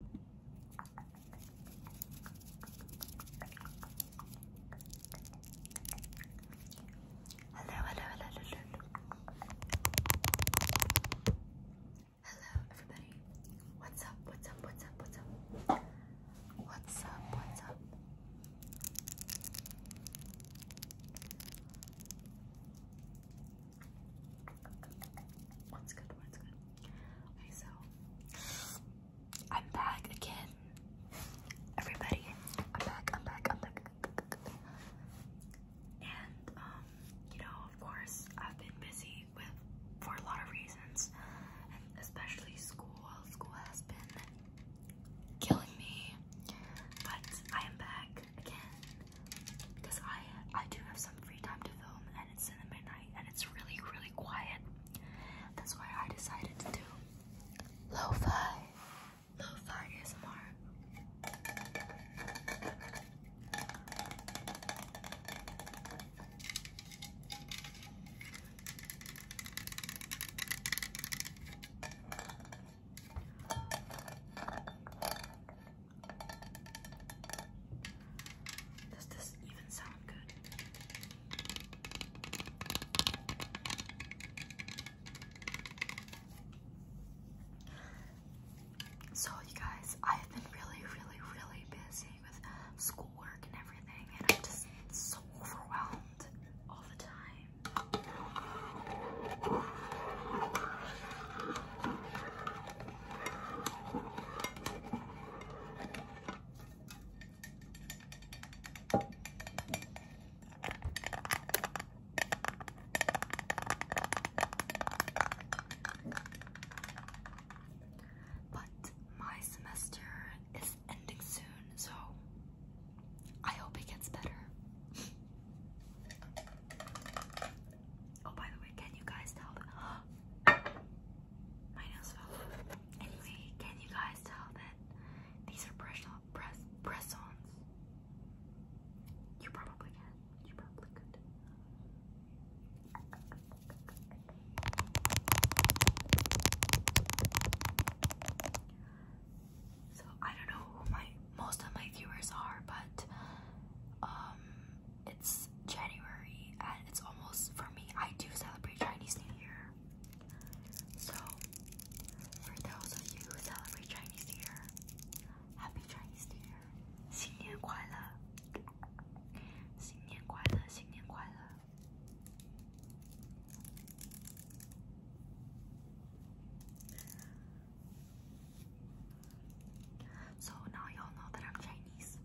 Hello, hello, hello, hello, hello. everybody. What's up? What's up? What's up? What's up? What's up? What's up? I'm back again. Everybody, I'm back, I'm back, I'm back. And um, you know, of course, I've been busy with for a lot of reasons, especially school. School has been killing me, but I am back again because I I do have some free time to film and it's in the midnight and it's really really quiet. That's why I decided to do lo-fi, lo-fi ASMR. Does this even sound good? So, you guys, I've been really, really, really busy with schoolwork and everything, and I'm just so overwhelmed all the time. But my semester is ending soon, so I hope it gets better. Oh, by the way, can you guys tell that my nails fell Anyway, can you guys tell that these are press press press-ons? You probably can. You probably could. So I don't know who my most of my viewers are, but um, it's January and it's almost for me. I do celebrate Chinese New Year. So for those of you who celebrate Chinese New Year, happy Chinese New Year. 新年快乐,新年快乐,新年快乐. So now y'all know that I'm Chinese.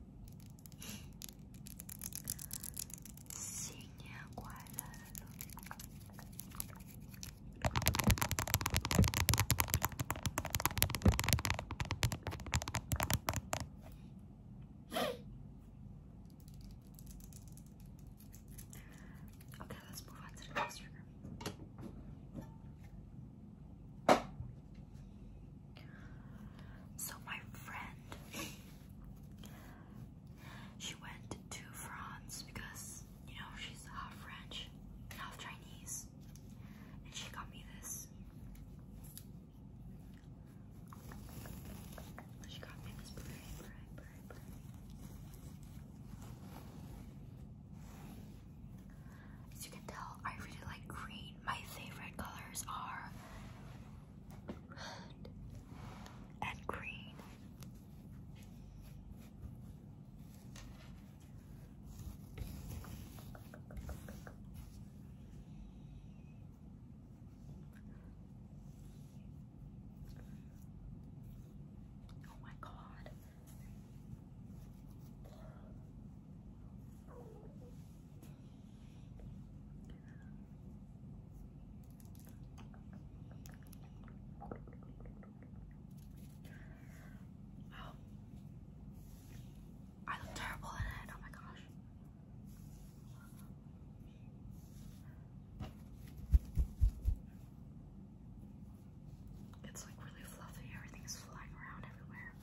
So my friend, she went to France because you know she's half French, half Chinese, and she got me this. She got me this as you can tell, I really like green. My favorite colors are red and green. Oh my god, Oh, I look terrible in it. Oh my gosh. It's like really fluffy, Everything is flying around everywhere.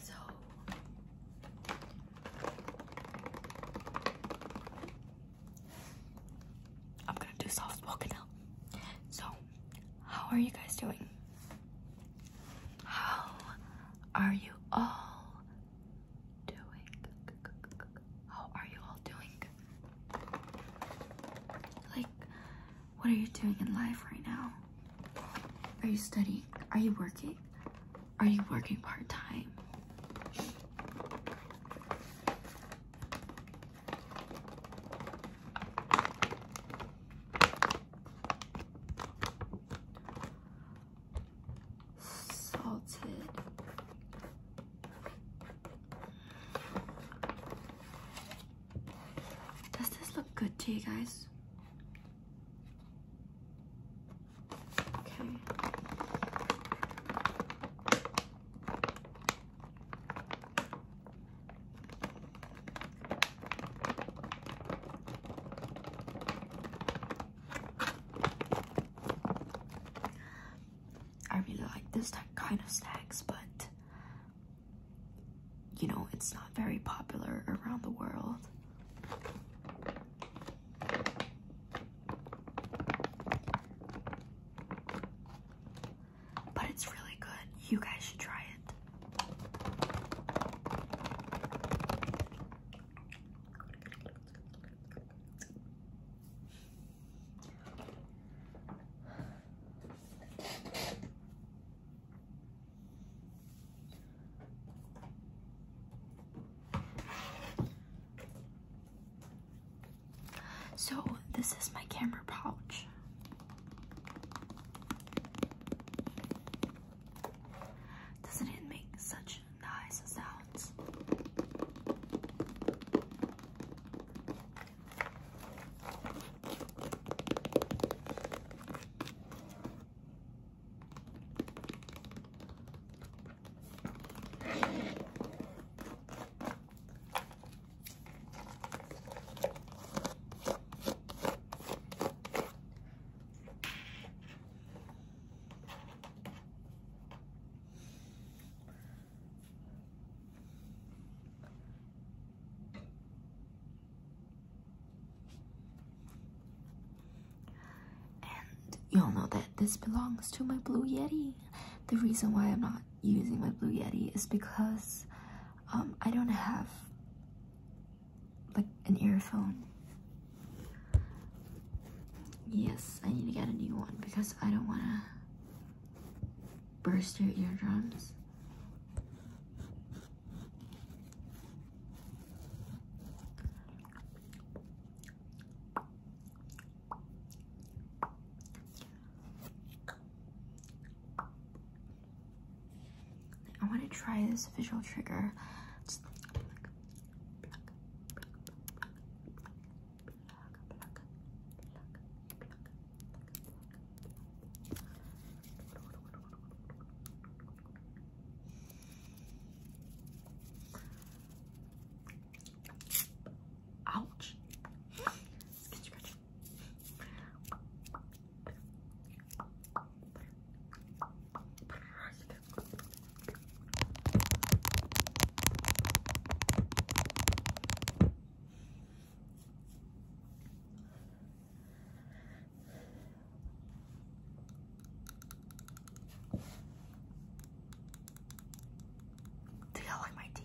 So I'm gonna do soft spoken now. So, how are you guys doing? How are you all doing? How oh, are you all doing? Like, what are you doing in life right now? Are you studying? Are you working? Are you working part time? salted does this look good to you guys okay I really like this kind of snacks, but you know, it's not very popular around the world. But it's really good. You guys should try it. So, this is my camera pouch. Doesn't it make such nice sounds. And you all know that this belongs to my Blue Yeti. The reason why I'm not using my Blue Yeti is because um, I don't have like an earphone. Yes, I need to get a new one because I don't want to burst your eardrums. I want to try this visual trigger. Ouch. Do you like my teeth?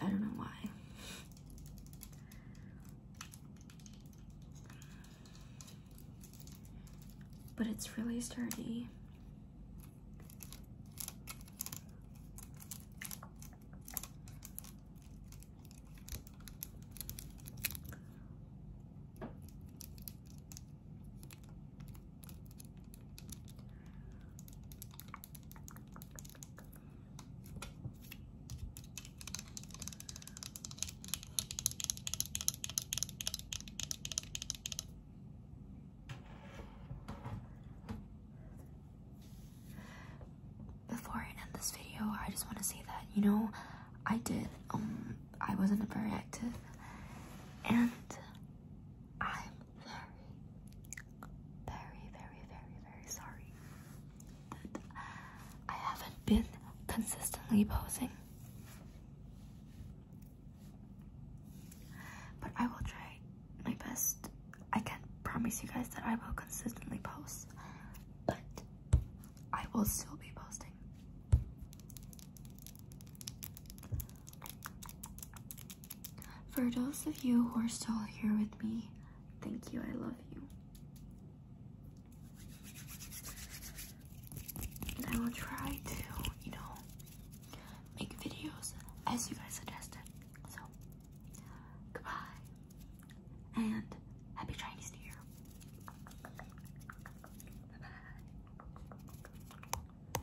I don't know why. But it's really sturdy. Before I end this video, I just want to say that, you know, I did, um, I wasn't very active, and I'm very, very, very, very, very sorry I haven't been consistently posing. But I will try my best. I can't promise you guys that I will consistently post, but I will still be posting. For those of you who are still here with me, thank you. I love you. And I will try to, you know, make videos as you guys suggested. So, goodbye. And happy Chinese New Year. Bye